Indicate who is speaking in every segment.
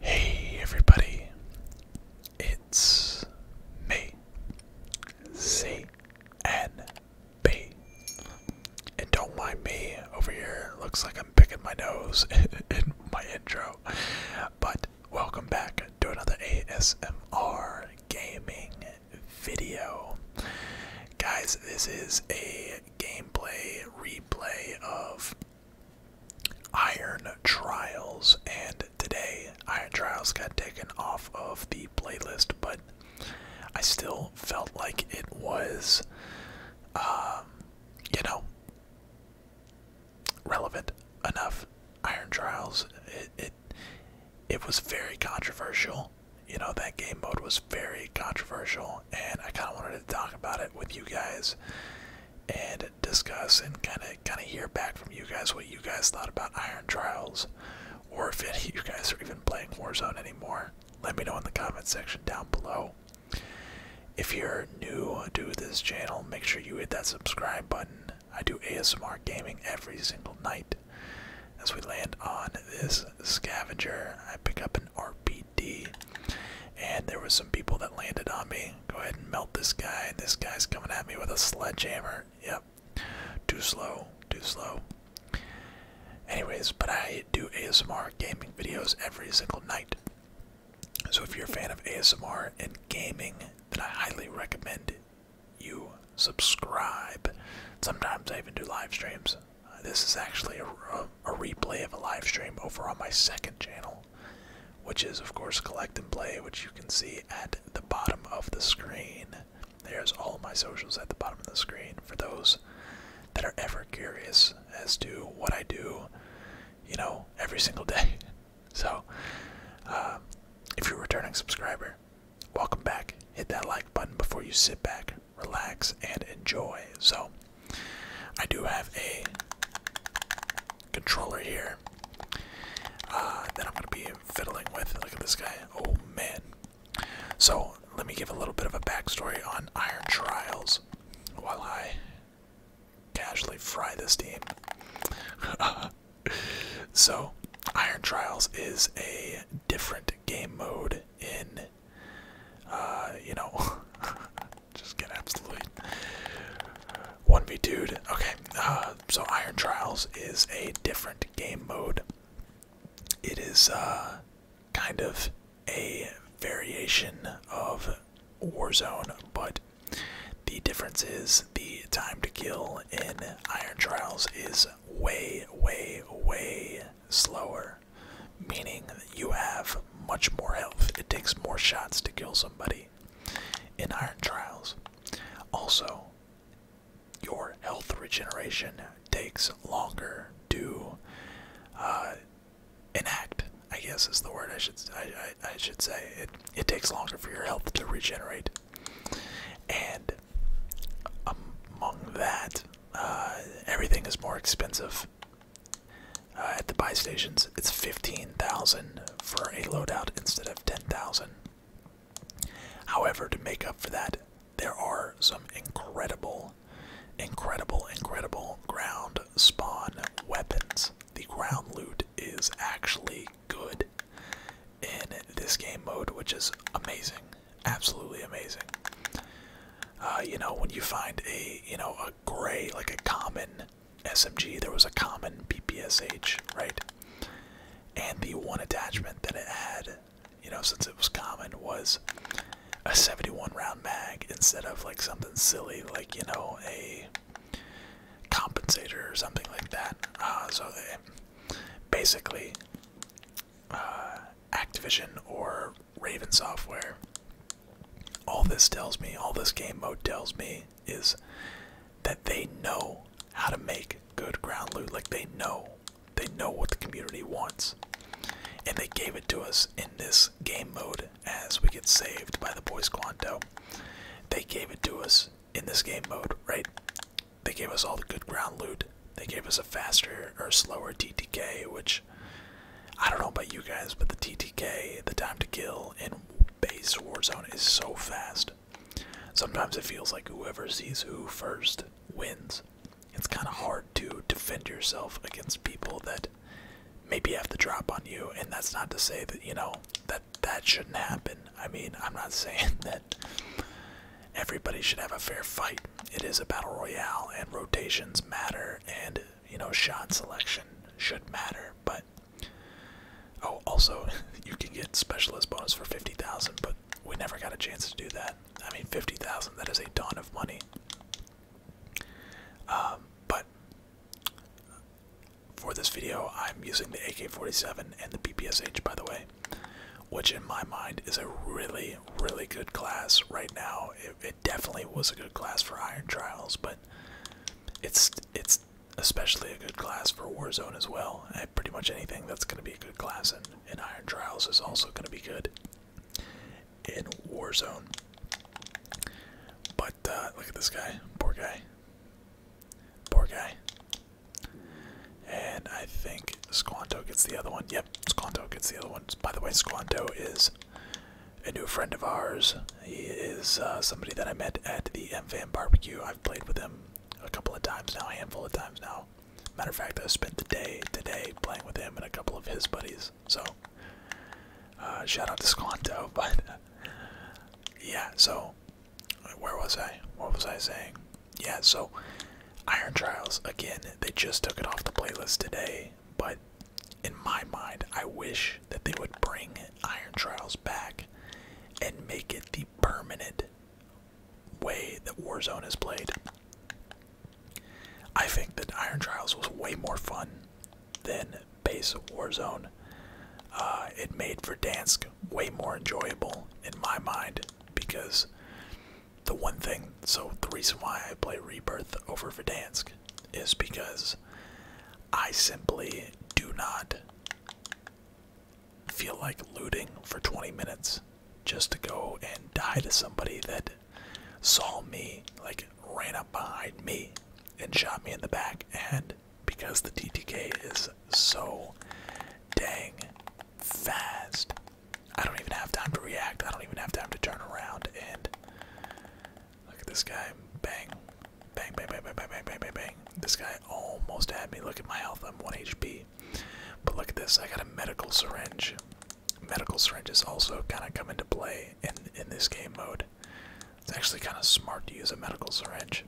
Speaker 1: Hey everybody, it's me, C N B. And don't mind me over here, looks like I'm picking my nose in my intro. But Welcome back to another ASMR gaming video. Guys, this is a gameplay replay of Iron Trials, and today Iron Trials got taken off of the playlist, but I still felt like it was, um, you know, relevant enough. Iron Trials, it was very controversial. You know, that game mode was very controversial, and I kind of wanted to talk about it with you guys and discuss and kind of kind of hear back from you guys what you guys thought about Iron Trials, or if you guys are even playing Warzone anymore. Let me know in the comment section down below. If you're new to this channel, make sure you hit that subscribe button. I do ASMR gaming every single night. As we land on this scavenger, I pick up an RPD, and there were some people that landed on me. Go ahead and melt this guy, this guy's coming at me with a sledgehammer. Yep, too slow, too slow. Anyways, but I do ASMR gaming videos every single night. So if you're a fan of ASMR and gaming, then I highly recommend you subscribe. Sometimes I even do live streams. this is actually a, replay of a live stream over on my second channel, which is, of course, Collect and Play, which you can see at the bottom of the screen. There's all my socials at the bottom of the screen for those that are ever curious as to what I do, you know, every single day. So, uh, if you're a returning subscriber, welcome back. Hit that like button before you sit back, relax, and enjoy. So, I do have a controller here uh, that I'm going to be fiddling with. Look at this guy. Oh, man. So, let me give a little bit of a backstory on Iron Trials while I casually fry this team. so, Iron Trials is a different game mode in, uh, you know, just get absolutely one v 2 Okay, uh, so Iron Trials is a different game mode. It is, uh, kind of a variation of Warzone, but the difference is the time to kill in Iron Trials is way, way, way slower, meaning that you have much more health. It takes more shots to kill somebody in Iron Trials. Also, your health regeneration takes longer to uh, enact. I guess is the word I should I should say. It it takes longer for your health to regenerate. And among that, uh, everything is more expensive. Uh, at the buy stations, it's 15,000 for a loadout instead of 10,000. However, to make up for that, there are some incredible, incredible, incredible ground spawn weapons. The ground loot is actually good in this game mode, which is amazing, absolutely amazing. Uh, you know, when you find a you know a gray like a common SMG, there was a common BPSH, right? And the one attachment that it had, you know, since it was common, was a 71 round mag instead of like something silly like you know a compensator or something like that. Uh, so they basically uh, Activision or Raven Software. All this tells me, all this game mode tells me, is that they know how to make good ground loot. Like they know, they know what the community wants, and they gave it to us in this game mode. As we get saved by the boys Quanto, they gave it to us in this game mode, right? They gave us all the good ground loot. They gave us a faster or slower TTK, which I don't know about you guys, but the TTK, the time to kill in base Warzone is so fast. Sometimes it feels like whoever sees who first wins. It's kind of hard to defend yourself against people that maybe have the drop on you, and that's not to say that, you know, that that shouldn't happen. I mean, I'm not saying that everybody should have a fair fight. It is a battle royale, and rotations matter, and you know, shot selection should matter. But oh, also, you can get specialist bonus for fifty thousand, but we never got a chance to do that. I mean, fifty thousand—that is a ton of money. Um, but for this video, I'm using the AK-47 and the PPSH, by the way, which in my mind is a really, really good class right now. It, definitely was a good class for Iron Trials, but it's it's especially a good class for Warzone as well. pretty much anything that's going to be a good class in, in Iron Trials is also going to be good in Warzone. But uh, look at this guy, poor guy. Poor guy. And I think Squanto gets the other one. Yep, Squanto gets the other one. By the way, Squanto is a new friend of ours. He is uh, somebody that I met at the MFAM barbecue. I've played with him a couple of times now, a handful of times now. Matter of fact, I spent the day today playing with him and a couple of his buddies. So, uh, shout out to Squanto. But yeah, so where was I? What was I saying? Yeah, so Iron Trials again, they just took it off the playlist today, but in my mind, I wish that they would bring Iron Trials back and make it the permanent way that Warzone is played. I think that Iron Trials was way more fun than base Warzone. Uh, it made Verdansk way more enjoyable in my mind because the one thing, so the reason why I play Rebirth over Verdansk is because I simply do not feel like looting for 20 minutes just to go and die to somebody that saw me, like ran up behind me and shot me in the back and because the TTK is so dang fast. I don't even have time to react. I don't even have time to turn around and look at this guy. Bang. Bang, bang, bang, bang, bang, bang, bang, bang, This guy almost had me. Look at my health. I'm 1 HP. But look at this. I got a medical syringe. Medical syringes also kind of come into play in, in this game mode. It's actually kind of smart to use a medical syringe.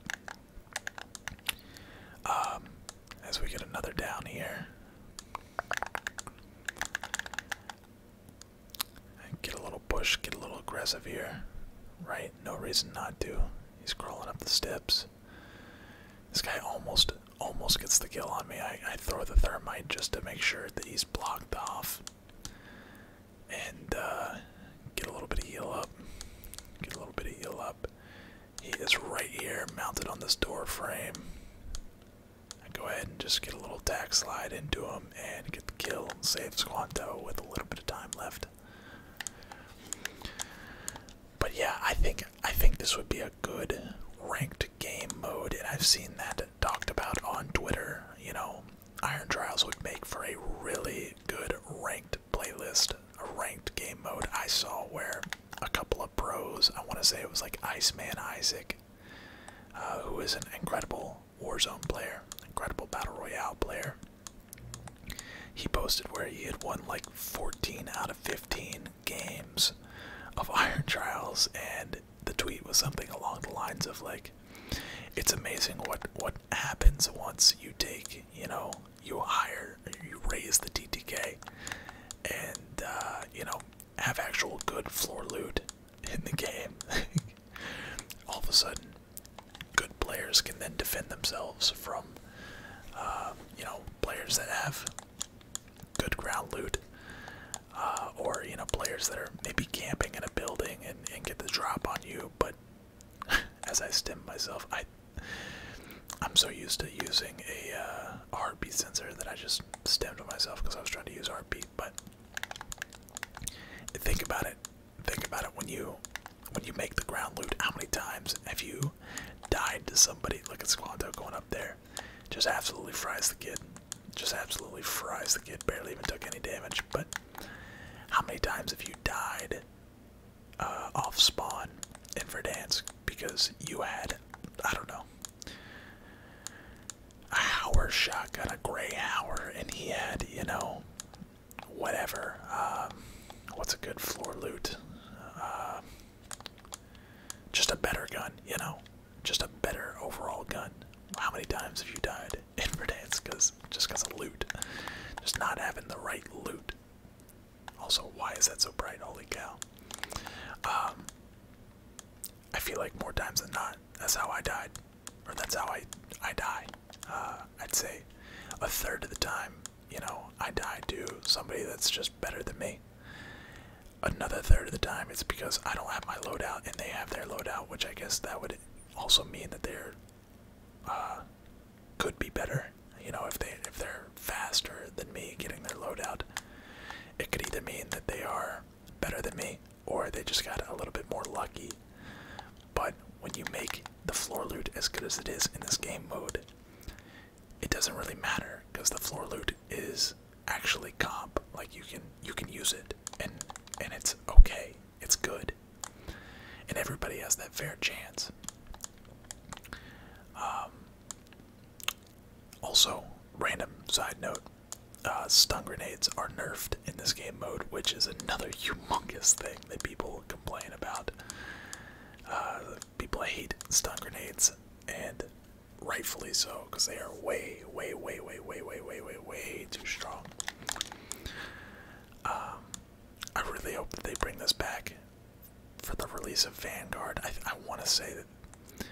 Speaker 1: Um, as we get another down here. Get a little push, get a little aggressive here. Right? No reason not to. He's crawling up the steps. This guy almost almost gets the kill on me. I throw the thermite just to make sure that he's blocked off and uh, get a little bit of heal up. Get a little bit of heal up. He is right here, mounted on this door frame. go ahead and just get a little tack slide into him and get the kill and save Squanto with a little bit of time left. But yeah, I think I think this would be a good ranked game mode, and I've seen that talked about on Twitter. You know, Iron Trials would make for a really good ranked playlist, a ranked game mode I saw where a couple of pros, I want to say it was like Iceman Isaac, uh, who is an incredible Warzone player, incredible Battle Royale player. He posted where he had won like 14 out of 15 games of Iron Trials, and the tweet was something along the lines of like, "It's amazing what what happens once you take, you know, you hire, you raise the TTK, and uh, you know, have actual good floor loot in the game. All of a sudden, good players can then defend themselves from, uh, you know, players that have good ground loot, uh, or you know, players that are maybe camping in a building and, and get the drop on you, but as I stem myself. I I'm so used to using a uh, heartbeat sensor that I just stemmed myself because I was trying to use R.P. But think about it. Think about it when you when you make the ground loot. How many times have you died to somebody? Look at Squanto going up there. Just absolutely fries the kid. Just absolutely fries the kid. Barely even took any damage. But how many times have you died uh, off spawn in for dance because you had, I don't know, a Howard shotgun, a gray hour, and he had, you know, whatever. Um, what's a good floor loot? Uh, just a better gun, you know? Just a better overall gun. How many times have you died? in because just because of loot, just not having the right loot. Also, why is that so bright? Holy cow! Um, I feel like more times than not, that's how I died, or that's how I I die. Uh, I'd say a third of the time, you know, I die to somebody that's just better than me. Another third of the time, it's because I don't have my loadout and they have their loadout, which I guess that would also mean that they're uh, could be better. You know, if they if they're faster than me getting their loadout, it could either mean that they are better than me or they just got a little bit more lucky. But when you make the floor loot as good as it is in this game mode, it doesn't really matter because the floor loot is actually comp. Like you can you can use it and and it's okay. It's good. And everybody has that fair chance. Um, also, random side note uh, stun grenades are nerfed in this game mode, which is another humongous thing that people complain about. Uh, people hate stun grenades, and rightfully so, because they are way, way, way, way, way, way, way, way, way too strong. Um, I really hope that they bring this back for the release of Vanguard. I, I want to say that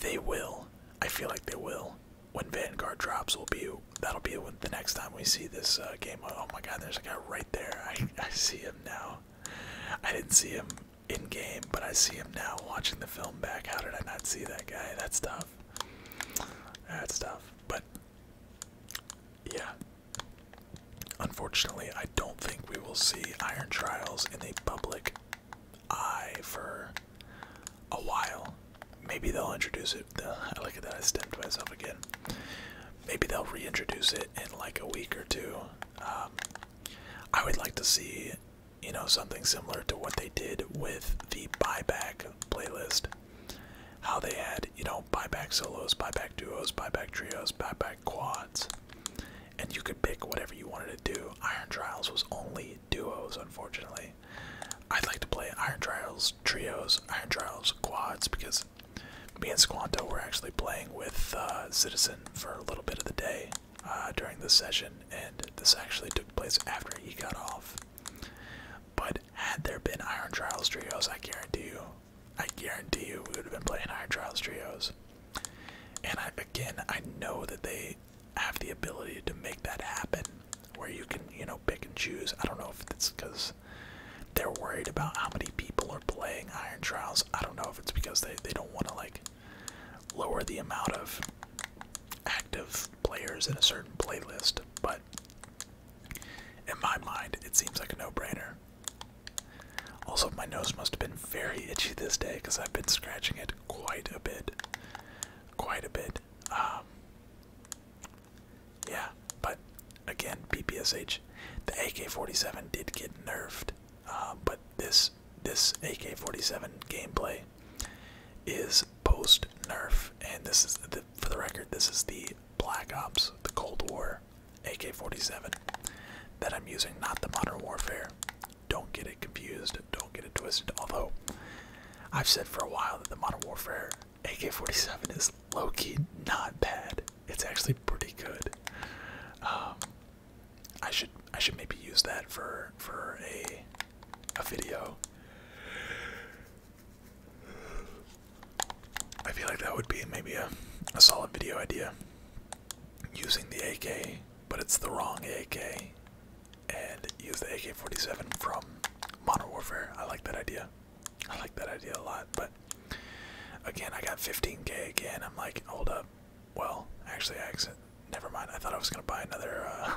Speaker 1: they will. I feel like they will. When Vanguard drops, will be that'll be the next time we see this uh, game. Oh my God, there's a guy right there. I I see him now. I didn't see him in game, but I see him now watching the film back. How did I not see that guy? That's tough. That's tough. But yeah. Unfortunately, I don't think we will see Iron Trials in the public eye for a while. Maybe they'll introduce it. Uh, I like that I stemmed myself again. Maybe they'll reintroduce it in like a week or two. Um, I would like to see, you know, something similar to what they did with the buyback playlist how they had, you know, buyback solos, buyback duos, buyback trios, buyback quads. And you could pick whatever you wanted to do. Iron Trials was only duos, unfortunately. I'd like to play Iron Trials trios, Iron Trials quads, because me and Squanto were actually playing with uh, Citizen for a little bit of the day uh, during this session, and this actually took place after he got off. But had there been Iron Trials trios, I guarantee you, I guarantee you, we would have been playing Iron Trials trios. And again, I know that they have the ability to make that happen, where you can, you know, pick and choose. I don't know if it's because they're worried about how many people are playing Iron Trials. I don't know if it's because they, they don't want to like lower the amount of active players in a certain playlist, but in my mind, it seems like a no-brainer. Also, my nose must have been very itchy this day because I've been scratching it quite a bit, quite a bit. Um, yeah, but again, BPSH, the AK-47 did get nerfed, uh, but this this AK-47 gameplay is post nerf, and this is for the record, this is the Black Ops, the Cold War AK-47 that I'm using, not the Modern Warfare. Don't get it confused. Don't get it twisted. Although I've said for a while that the Modern Warfare AK-47 is low-key not bad. It's actually pretty good. Um, I should I should maybe use that for for a a video. I feel like that would be maybe a, a solid video idea. Using the AK, but it's the wrong AK, and use the AK 47 from Modern Warfare. I like that idea. I like that idea a lot, but again, I got 15k again. I'm like, hold up. Well, actually, I accident. Never mind. I thought I was gonna buy another uh,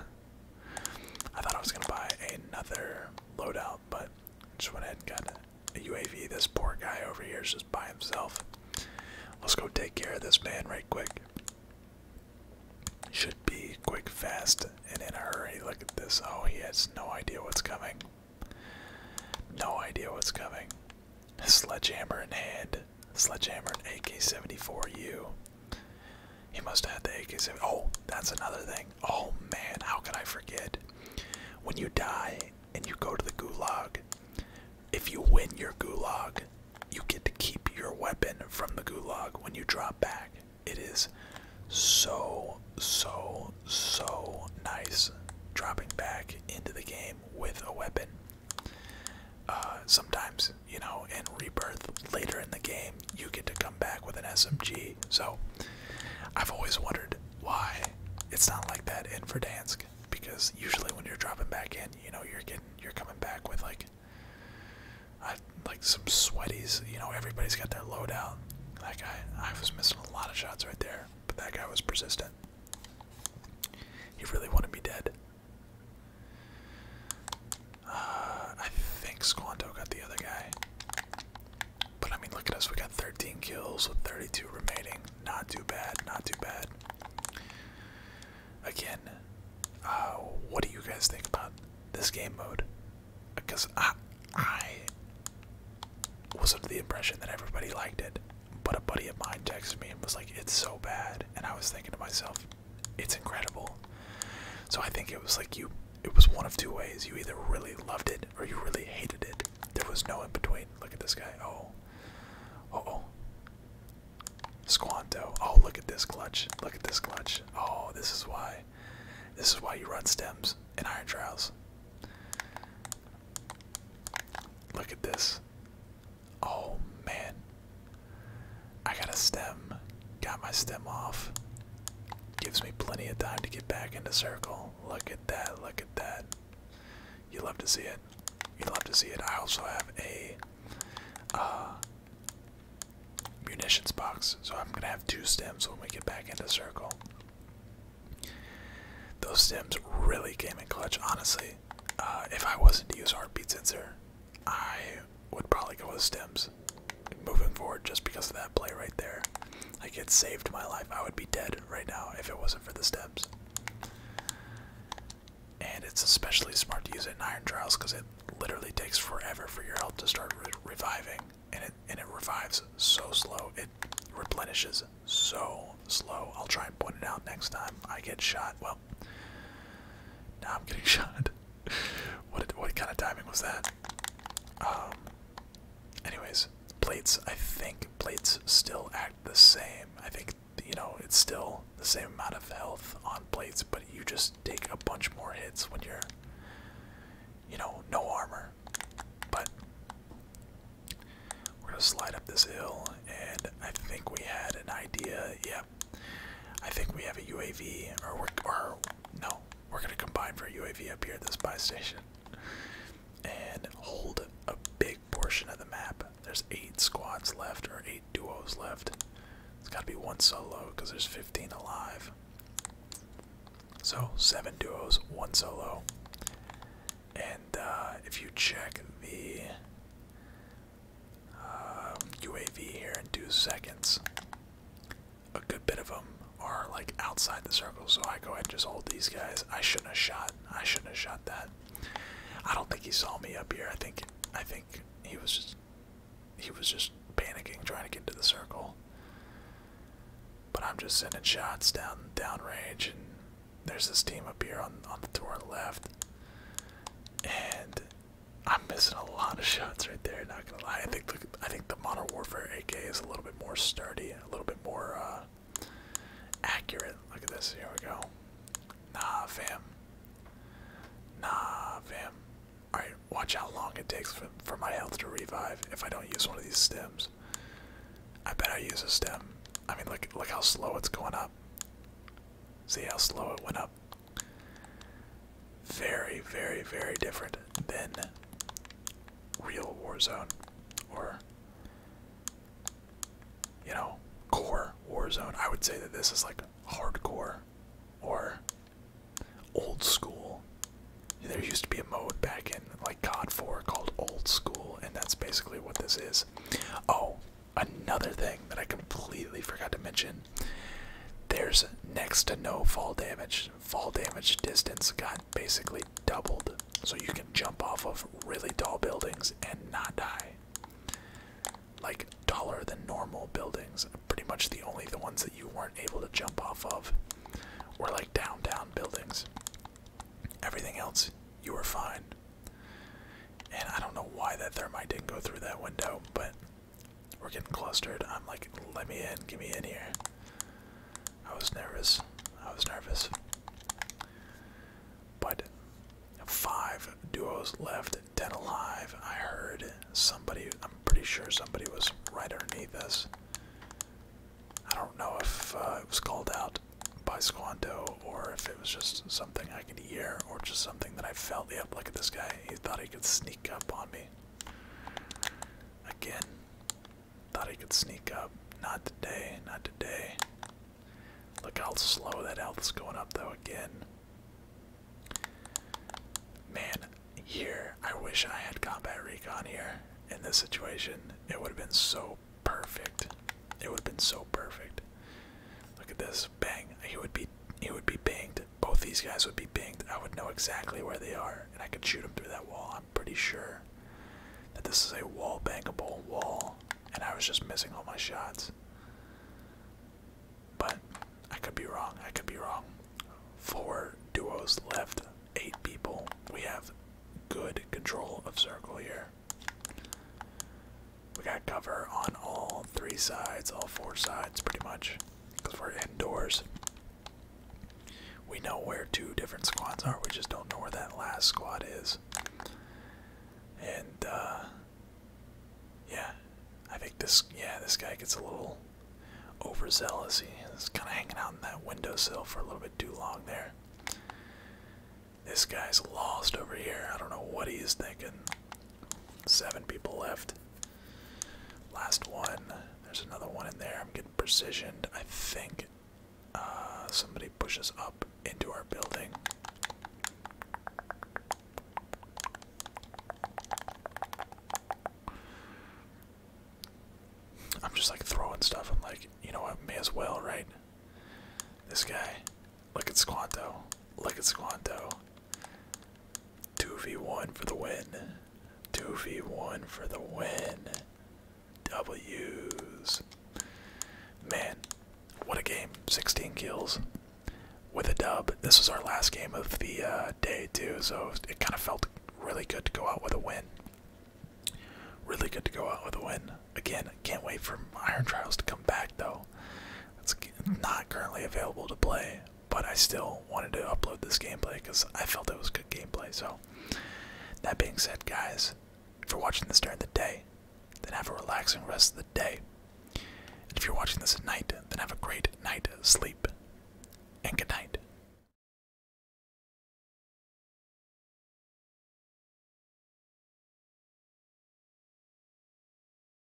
Speaker 1: I thought I was gonna buy another loadout, but just went ahead and got a UAV. This poor guy over here is just by himself. Let's go take care of this man right quick. Should be quick, fast, and in a hurry. Look at this. Oh, he has no idea what's coming. No idea what's coming. Sledgehammer in hand. Sledgehammer and AK-74U. He must have had the ak Oh, that's another thing. Oh man, how could I forget? When you die and you go to the gulag, if you win your gulag, you get to keep your weapon from the gulag when you drop back. It is so, so, so nice dropping back into the game with a weapon. Uh, sometimes you know, in Rebirth later in the game, you get to come back with an SMG. So I've always wondered why it's not like that in Verdansk because usually when you're dropping back in, you know, you're getting you're coming back with like I like some sweaties, you know, everybody's got their loadout. That guy I was missing a lot of shots right there, but that guy was persistent. He really wanted me dead. Uh, I think Squanto got the other guy. But I mean, look at us. We got 13 kills with 32 remaining. Not too bad. Not too bad. Again, uh, what do you guys think about this game mode? Because I was under the impression that everybody liked it, but a buddy of mine texted me and was like, "It's so bad," and I was thinking to myself, it's incredible. So I think it was like you it was one of two ways. You either really loved it or you really hated it. There was no in between. Look at this guy. Oh. oh. Squanto. Oh look at this clutch. Look at this clutch. Oh, this is why. This is why you run stems in iron trials. Look at this. Oh man. I got a stem. Got my stem off. Gives me plenty of time to get back into circle. Look at that, look at that. You love to see it. You love to see it. I also have a uh, munitions box, so I'm gonna have two stems when we get back into circle. Those stems really came in clutch, honestly. Uh, if I wasn't to use heartbeat sensor, I would probably go with stems moving forward just because of that play right there. Like it saved my life. I would be dead right now if it wasn't for the stems. And it's especially smart to use it in Iron Trials because it literally takes forever for your health to start reviving, and it and it revives so slow. It replenishes so slow. I'll try and point it out next time I get shot. Well, now I'm getting shot what what kind of timing was that? Um, anyways, plates. I think plates still act the same. I think you know it's still the same amount of health on plates, but you just take a bunch more hits when you're, you know, no armor. But we're gonna slide up this hill, and I think we had an idea. Yep. I think we have a UAV, or we're, no, we're gonna combine for a UAV up here at this buy station, and hold a big portion of the map. There's eight squads left, or eight duos left. It's gotta be one solo because there's 15 alive. So seven duos, one solo. And uh, if you check the UAV um, here in two seconds. A good bit of them are like outside the circle, so I go ahead and just hold these guys. I shouldn't have shot. I shouldn't have shot that. I don't think he saw me up here. I think I think he was just he was just panicking trying to get to the circle. But I'm just sending shots down downrange and there's this team up here on on the tour left. And I'm missing a lot of shots right there. Not gonna lie, I think the, I think the Modern Warfare AK is a little bit more sturdy, a little bit more uh, accurate. Look at this. Here we go. Nah, fam. Nah, fam. All right, watch how long it takes for, for my health to revive if I don't use one of these stems. I bet I use a stem. I mean, look look how slow it's going up. See how slow it went up. Very, very, very different than real Warzone or, you know, core Warzone. I would say that this is like hardcore or old school. There used to be a mode back in like COD 4 called old school, and that's basically what this is. Oh, another thing that I completely forgot to mention there's next to no fall damage. Fall damage distance got basically doubled. So you can jump off of really tall buildings and not die. Like taller than normal buildings. Pretty much the only the ones that you weren't able to jump off of were like downtown buildings. Everything else, you were fine. And I don't know why that thermite didn't go through that window, but we're getting clustered. I'm like, let me in, get me in here. I was nervous. I was nervous. But five duos left, ten alive. I heard somebody, I'm pretty sure somebody was right underneath us. I don't know if uh, it was called out by Squanto or if it was just something I could year or just something that I felt. Yep, look at this guy. He thought he could sneak up on me. Again. Thought he could sneak up. Not today, not today. Look how slow that health is going up though again. Man, here I wish I had combat recon here in this situation. It would have been so perfect. It would have been so perfect. Look at this. Bang. He would be he would be banged both these guys would be binged. I would know exactly where they are, and I could shoot them through that wall. I'm pretty sure that this is a wall bankable wall, and I was just missing all my shots. But I could be wrong. I could be wrong. Four duos left, eight people. We have good control of circle here. We got cover on all three sides, all four sides, pretty much. Because we're indoors. We know where two different squads are, we just don't know where that last squad is. And, uh, yeah, I think this, yeah, this guy gets a little overzealous. He's kind of hanging out in that windowsill for a little bit too long there. This guy's lost over here. I don't know what he is thinking. Seven people left. Last one. There's another one in there. I'm getting precisioned. I think uh, somebody pushes up into our building. I'm just like throwing stuff. I'm like, you know what? May as well, right? This guy. Look at Squanto. Look at Squanto. 2v1 for the win. 2v1 for the win. W's. Man, what a game. 16 kills with a dub. This was our last game of the uh, day, too, so it kind of felt really good to go out with a win. Really good to go out with a win. Again, can't wait for Iron Trials to come back, though. It's not currently available to play, but I still wanted to upload this gameplay because I felt it was good gameplay. So, that being said, guys, if you're watching this during the day, then have a relaxing rest of the day. And if you're watching this at night, then have a great night sleep. And good night.